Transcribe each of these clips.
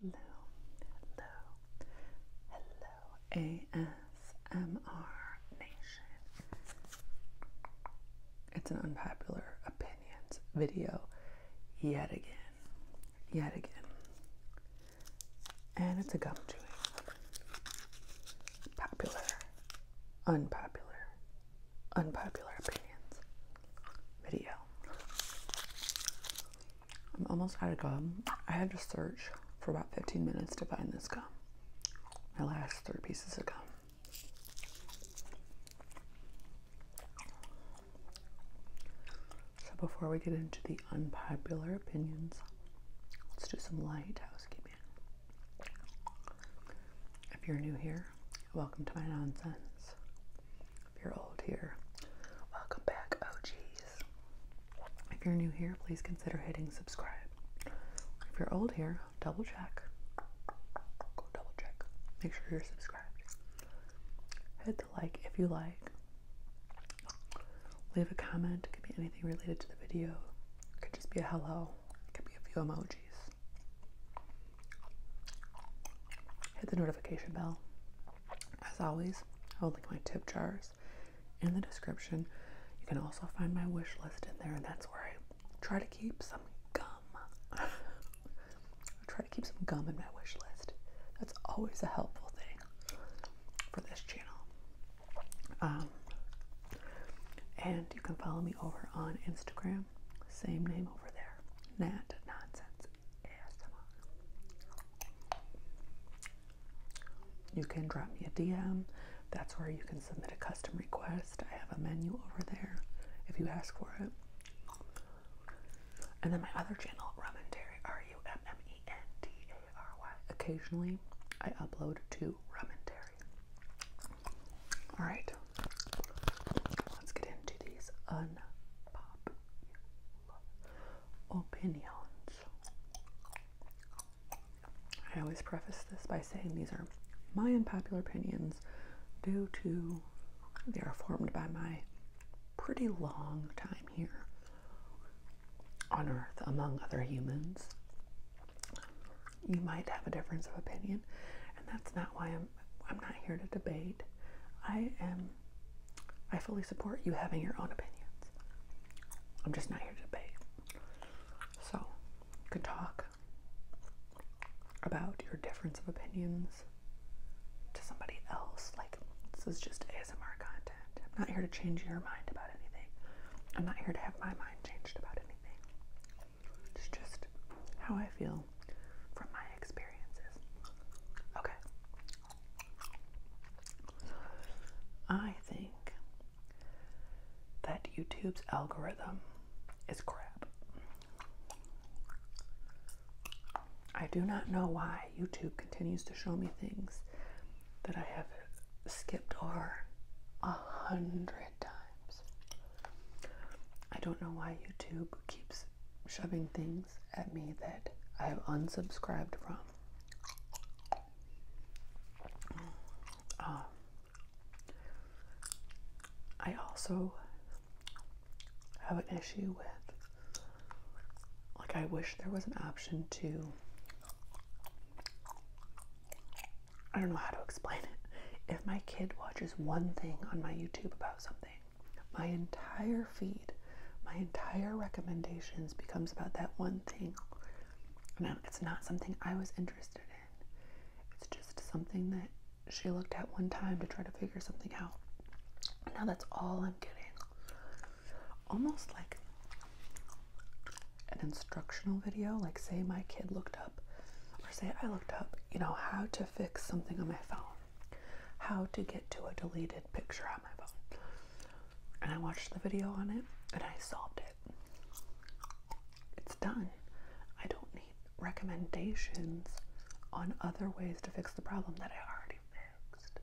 Hello, hello, hello, ASMR Nation. It's an unpopular opinions video yet again, yet again. And it's a gum chewing. Popular, unpopular unpopular opinions video. I'm almost out of gum. I had to search for about 15 minutes to find this gum. My last three pieces of gum. So before we get into the unpopular opinions, let's do some light housekeeping. If you're new here, Welcome to my nonsense. If you're old here, welcome back, OGs. If you're new here, please consider hitting subscribe. If you're old here, double check. Go double check. Make sure you're subscribed. Hit the like if you like. Leave a comment. It could be anything related to the video. It could just be a hello. It could be a few emojis. Hit the notification bell. As always, I will link my tip jars in the description. You can also find my wish list in there, and that's where I try to keep some gum. I try to keep some gum in my wish list. That's always a helpful thing for this channel. Um, and you can follow me over on Instagram same name over there. Nat Nonsense ASMR. You can drop me a DM. That's where you can submit a custom request. I have a menu over there if you ask for it. And then my other channel, Rumentary, R-U-M-M-E-N-T-A-R-Y. Occasionally, I upload to Rumentary. All right. Let's get into these unpopular opinions. I always preface this by saying these are my unpopular opinions due to they are formed by my pretty long time here on Earth among other humans you might have a difference of opinion, and that's not why I'm I'm not here to debate. I am I fully support you having your own opinions. I'm just not here to debate. So, you can talk about your difference of opinions to somebody else. Like, this is just ASMR content. I'm not here to change your mind about anything. I'm not here to have my mind changed about anything. It's just how I feel from my experiences. Okay. I think that YouTube's algorithm is crap. I do not know why YouTube continues to show me things that I have skipped over a hundred times. I don't know why YouTube keeps shoving things at me that I have unsubscribed from. Um, I also have an issue with, like, I wish there was an option to I don't know how to explain it. If my kid watches one thing on my YouTube about something, my entire feed, my entire recommendations becomes about that one thing. Now it's not something I was interested in. It's just something that she looked at one time to try to figure something out. Now that's all I'm getting. Almost like an instructional video, like say my kid looked up or say I looked up, you know, how to fix something on my phone, how to get to a deleted picture on my phone. And I watched the video on it and I solved it. It's done. I don't need recommendations on other ways to fix the problem that I already fixed.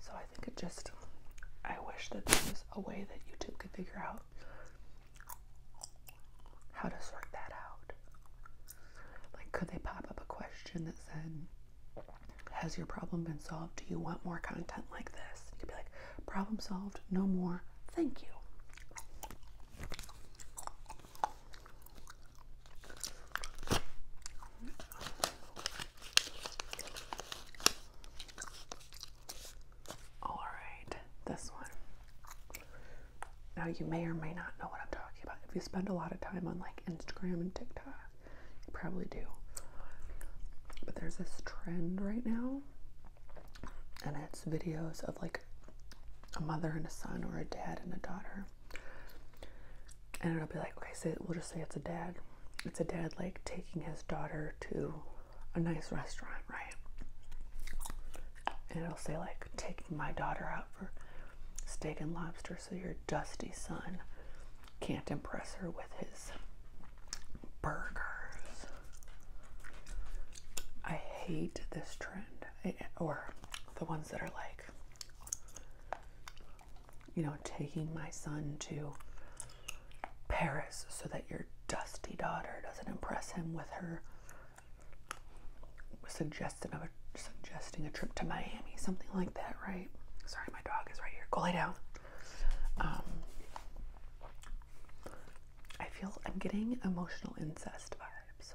So I think it just, I wish that there was a way that YouTube could figure out how to sort that out. Like, could they pop up a question that said, Has your problem been solved? Do you want more content like this? You could be like, Problem solved, no more, thank you. All right, this one. Now, you may or may not know what I'm talking about. If you spend a lot of time on like Instagram and TikTok, you probably do. But there's this trend right now, and it's videos of like a mother and a son, or a dad and a daughter. And it'll be like, okay, say, we'll just say it's a dad. It's a dad like taking his daughter to a nice restaurant, right? And it'll say like taking my daughter out for steak and lobster so your dusty son can't impress her with his burgers. I hate this trend eh, or the ones that are like you know taking my son to Paris so that your dusty daughter doesn't impress him with her suggestion a suggesting a trip to Miami, something like that, right? Sorry, my dog is right here. Go lay down. Um, I feel I'm getting emotional incest vibes.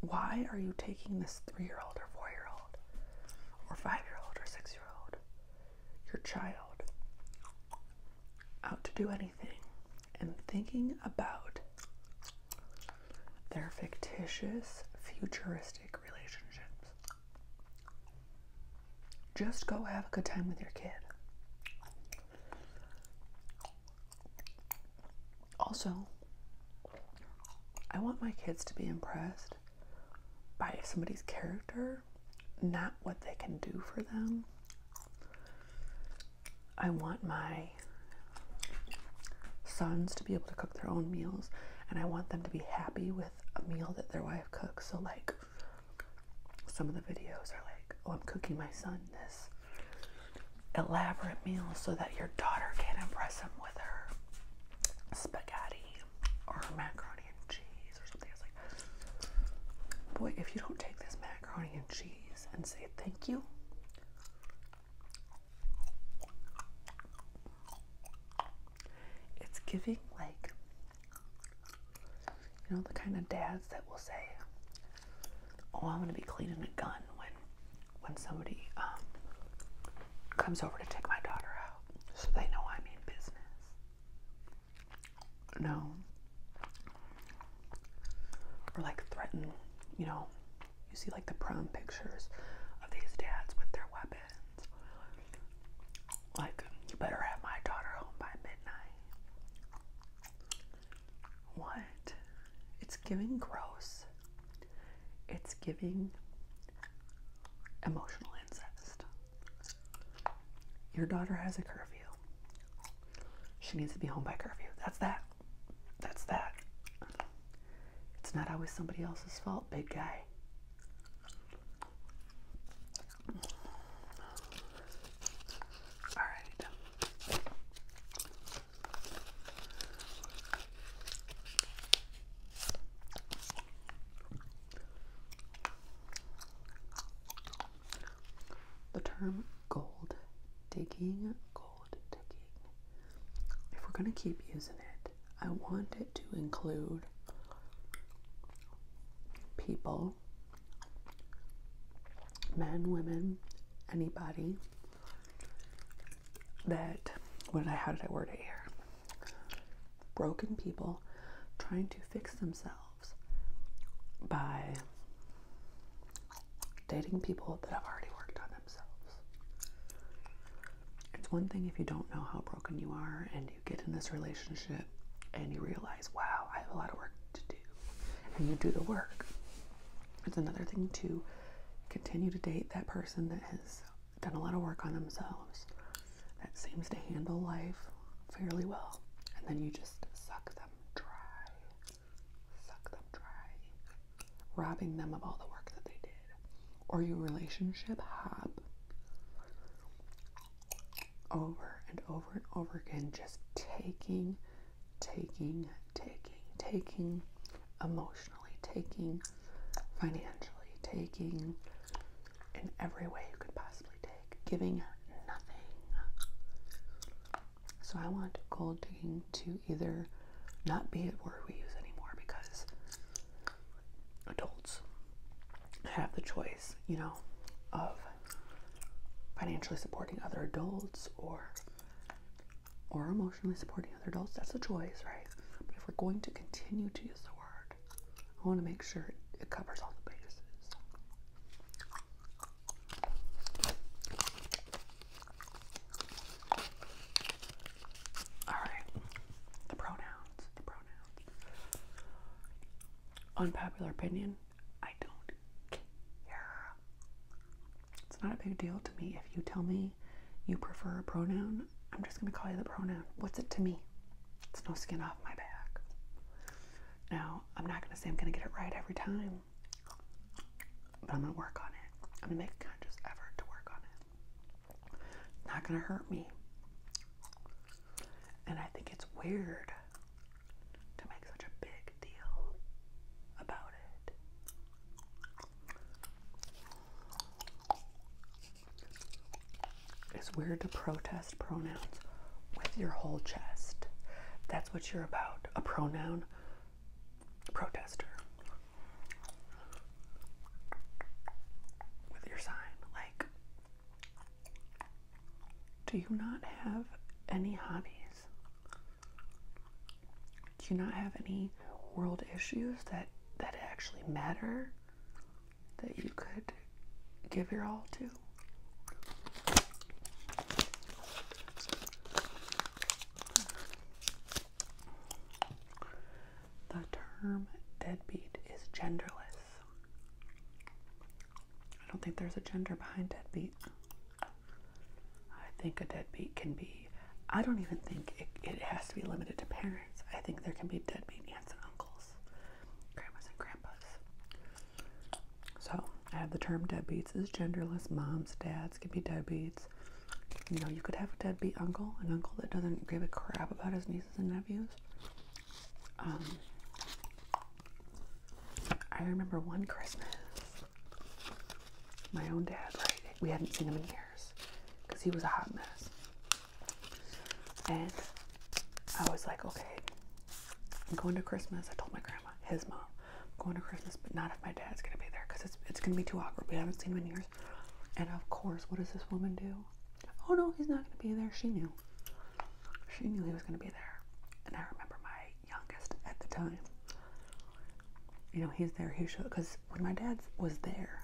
Why are you taking this three year old or four year old or five year old or six year old your child out to do anything and thinking about their fictitious, futuristic relationships. Just go have a good time with your kid. Also, I want my kids to be impressed by somebody's character, not what they can do for them. I want my sons to be able to cook their own meals, and I want them to be happy with a meal that their wife cooks. So, like, some of the videos are like, oh, I'm cooking my son this elaborate meal so that your daughter can impress him with her spaghetti or macaroni and cheese or something. I like, boy, if you don't take this macaroni and cheese and say thank you, it's giving like, you know, the kind of dads that will say, oh, I'm going to be cleaning a gun when, when somebody um, comes over to take my daughter out so they know I mean business. No. Or like threaten, you know, you see like the prom pictures of these dads with their weapons. Like, you better have my daughter home by midnight. What? It's giving gross. It's giving emotional incest. Your daughter has a curfew. She needs to be home by curfew. That's that. That's that. It's not always somebody else's fault, big guy. All right. The term gold digging, gold digging, if we're going to keep using it, I want it to include people, men, women, anybody that what did I how did I word it here? Broken people trying to fix themselves by dating people that have already worked on themselves. It's one thing if you don't know how broken you are and you get in this relationship and you realize, wow, I have a lot of work to do, and you do the work. It's another thing to continue to date that person that has done a lot of work on themselves that seems to handle life fairly well. And then you just suck them dry. Suck them dry. Robbing them of all the work that they did. Or you relationship hop over and over and over again, just taking, taking, taking, taking emotionally, taking financially, taking in every way you could possibly take, giving nothing. So I want gold digging to either not be a word we use anymore because adults have the choice, you know, of financially supporting other adults or or emotionally supporting other adults, that's a choice, right? But if we're going to continue to use the word, I want to make sure it covers all the bases. All right, the pronouns, the pronouns. Unpopular opinion, I don't care. It's not a big deal to me if you tell me you prefer a pronoun, I'm just going to call you the pronoun. What's it to me? It's no skin off my back. Now, I'm not going to say I'm going to get it right every time, but I'm going to work on it. I'm going to make a conscious effort to work on it. not going to hurt me. And I think it's weird to make such a big deal about it. It's weird to protest pronouns with your whole chest. That's what you're about. A pronoun protester. With your sign. Like, do you not have any hobbies? Do you not have any world issues that that actually matter that you could give your all to. The term deadbeat is genderless. I don't think there's a gender behind deadbeat. I think a deadbeat can be I don't even think it, has to be limited to parents. I think there can be deadbeat aunts and uncles, grandmas and grandpas. So I have the term deadbeats is genderless. Moms, dads can be deadbeats. You know, you could have a deadbeat uncle, an uncle that doesn't give a crap about his nieces and nephews. Um, I remember one Christmas my own dad, right? We hadn't seen him in years because he was a hot mess. And I was like, okay, I'm going to Christmas. I told my grandma, his mom, I'm going to Christmas, but not if my dad's going to be there because it's, it's going to be too awkward. We haven't seen him in years. And of course, what does this woman do? Oh no, he's not going to be there. She knew. She knew he was going to be there. And I remember my youngest at the time you know, he's there, he should, because when my dad was there,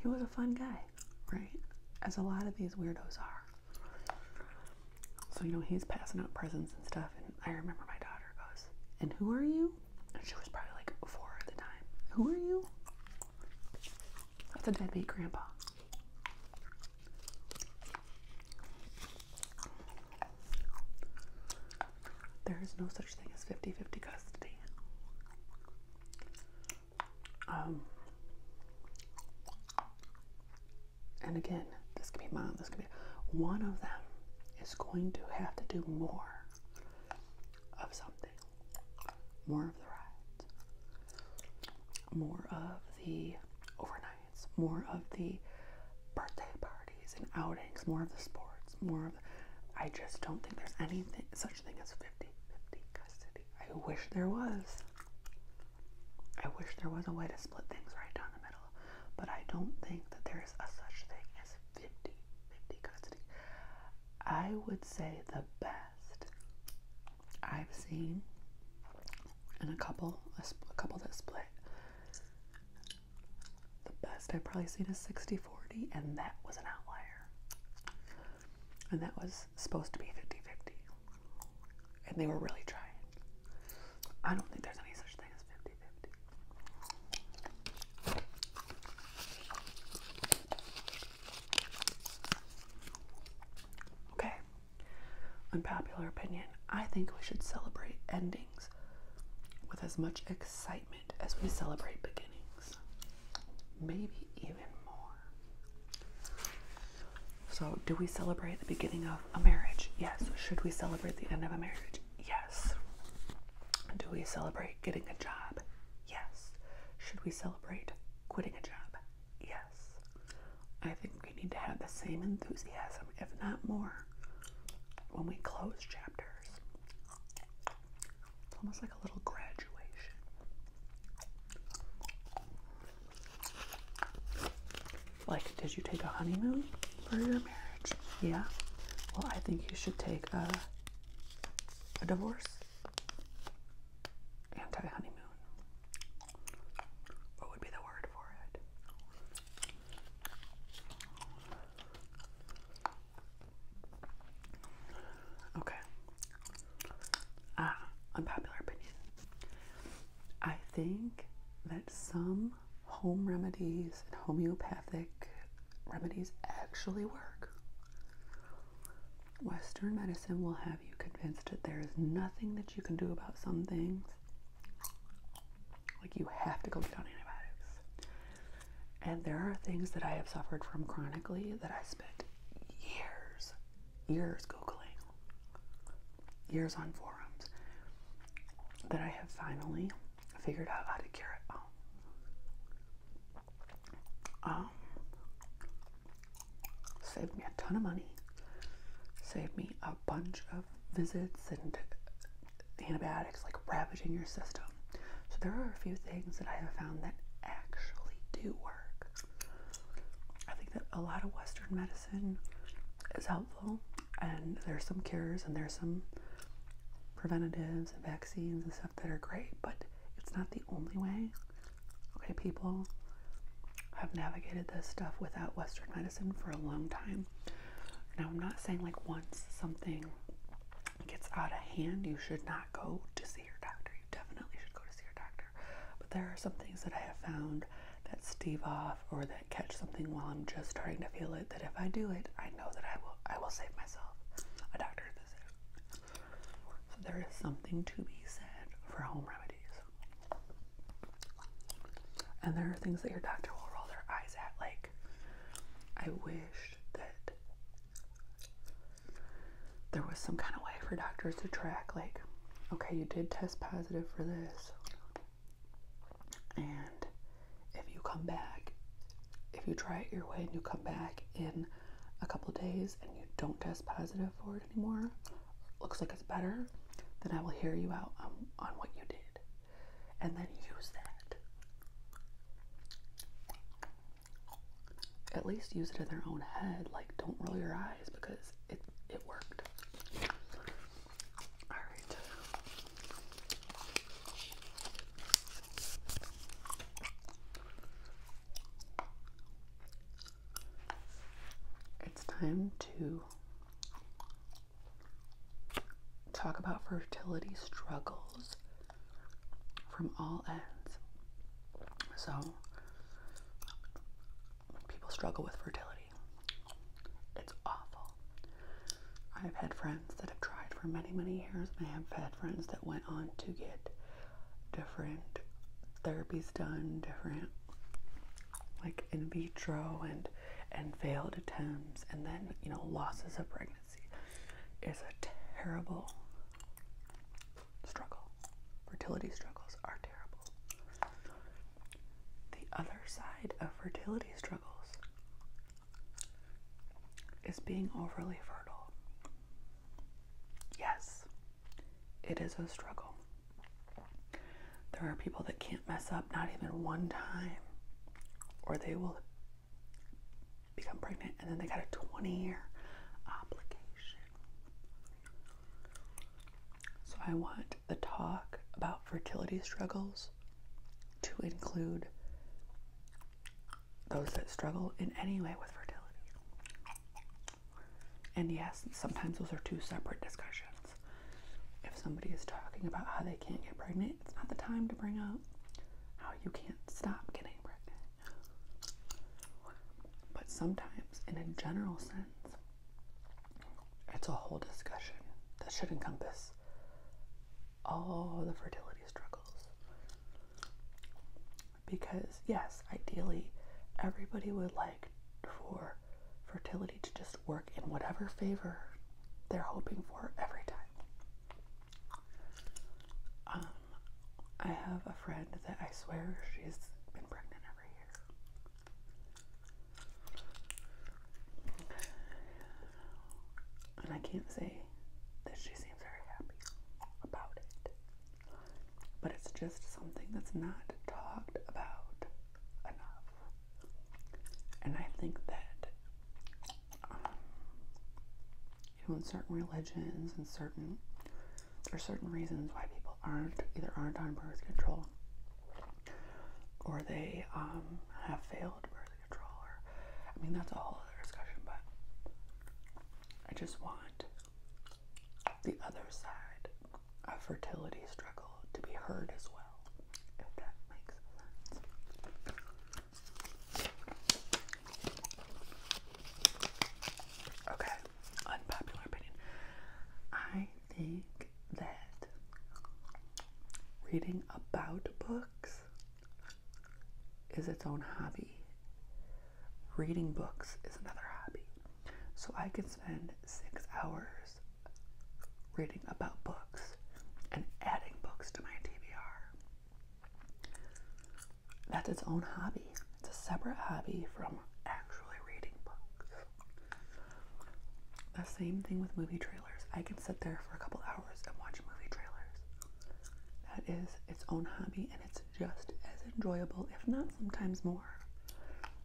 he was a fun guy, right? As a lot of these weirdos are. So, you know, he's passing out presents and stuff, and I remember my daughter goes, And who are you? And she was probably like four at the time. Who are you? That's a deadbeat grandpa. There is no such thing as 50 50 custody. Um, and again, this could be mom, this could be one of them is going to have to do more of something, more of the rides, more of the overnights, more of the birthday party and outings, more of the sports, more of the, I just don't think there's anything such thing as 50 50 custody. I wish there was. I wish there was a way to split things right down the middle, but I don't think that there is a such thing as 50 50 custody. I would say the best I've seen in a couple, a couple that split the best I've probably seen is 60 40, and that was an outlier. And that was supposed to be 50 50. And they were really trying. I don't think there's any such thing as 50 Okay, unpopular opinion. I think we should celebrate ending with as much excitement as we celebrate beginnings, maybe even more. So, do we celebrate the beginning of a marriage? Yes. Should we celebrate the end of a marriage? Yes. Do we celebrate getting a job? Yes. Should we celebrate quitting a job? Yes. I think we need to have the same enthusiasm, if not more, when we close chapters. It's almost like a little graduation. Like, did you take a honeymoon for your marriage? Yeah. Well, I think you should take a a divorce anti honeymoon. What would be the word for it? Okay. Ah, unpopular opinion. I think that some home remedies and homeopathic remedies actually work. Western medicine will have you convinced that there is nothing that you can do about some things, like, you have to go get on antibiotics. And there are things that I have suffered from chronically that I spent years, years Googling, years on forums, that I have finally figured out how to cure it. Um, um saved me a ton of money, saved me a bunch of visits and antibiotics like ravaging your system. So there are a few things that I have found that actually do work. I think that a lot of Western medicine is helpful and there's some cures and there's some preventatives and vaccines and stuff that are great, but it's not the only way. Okay, people have navigated this stuff without Western medicine for a long time. Now, I'm not saying like once something gets out of hand, you should not go to see your doctor. You definitely should go to see your doctor. But there are some things that I have found that stave off or that catch something while I'm just starting to feel it. That if I do it, I know that I will. I will save myself a doctor visit. So there is something to be said for home remedies. And there are things that your doctor will roll their eyes at. Like, I wish that there was some kind of way for doctors to track, like, okay, you did test positive for this. And if you come back, if you try it your way and you come back in a couple days and you don't test positive for it anymore, looks like it's better, then I will hear you out on what you did and then use that. At least use it in their own head. Like, don't roll your eyes because it, it worked. All right. It's time to talk about fertility struggles from all ends. So, people struggle with fertility. It's awful. I've had friends that have tried for many, many years, I have had friends that went on to get different therapies done, different like in vitro and and failed attempts and then you know losses of pregnancy is a terrible struggle. Fertility struggles are terrible. The other side of fertility struggles is being overly fertile. Yes, it is a struggle. There are people that can't mess up not even one time, or they will become pregnant and then they got a 20 year obligation. So I want the talk about fertility struggles to include those that struggle in any way with fertility. And yes, sometimes those are two separate discussions. If somebody is talking about how they can't get pregnant, it's not the time to bring up how you can't stop getting pregnant. But sometimes, in a general sense, it's a whole discussion that should encompass all the fertility struggles. Because, yes, ideally, everybody would like for fertility to just work in whatever favor they're hoping for every time. Um, I have a friend that I swear she's been pregnant every year. And I can't say that she seems very happy about it. But it's just something that's not talked about enough. And I think that, um, in certain religions and certain, there are certain reasons why people aren't, either aren't on birth control or they um, have failed birth control. Or, I mean, that's a whole other discussion, but I just want the other side of fertility struggle to be heard as well, if that makes sense. Okay, unpopular opinion. I think that reading about books is its own hobby. Reading books is another hobby. So I can spend six hours reading about books and adding books to my TBR. That's its own hobby. It's a separate hobby from actually reading books. The same thing with movie trailers. I can sit there for a couple hours and watch movie trailers. That is its own hobby and it's is just as enjoyable, if not sometimes more,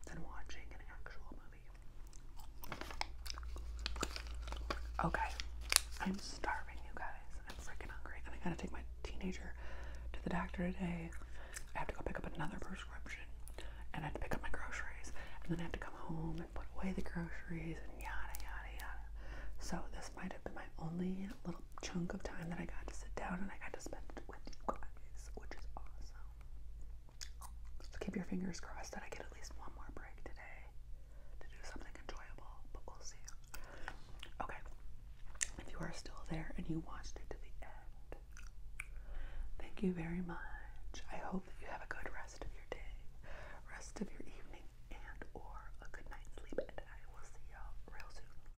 than watching an actual movie. Okay, I'm starving, you guys. I'm freaking hungry, and I gotta take my teenager to the doctor today. I have to go pick up another prescription, and I have to pick up my groceries, and then I have to come home and put away the groceries, and yada yada yada. So, this might have been my only little chunk of time that I got to sit down and I got to spend it with you guys, which is awesome. keep your fingers crossed that I get at least one more break today to do something enjoyable, but we'll see. Okay, if you are still there and you watched it to the end, thank you very much. I hope that you have a good rest of your day, rest of your evening, and or a good night's sleep, and I will see y'all real soon.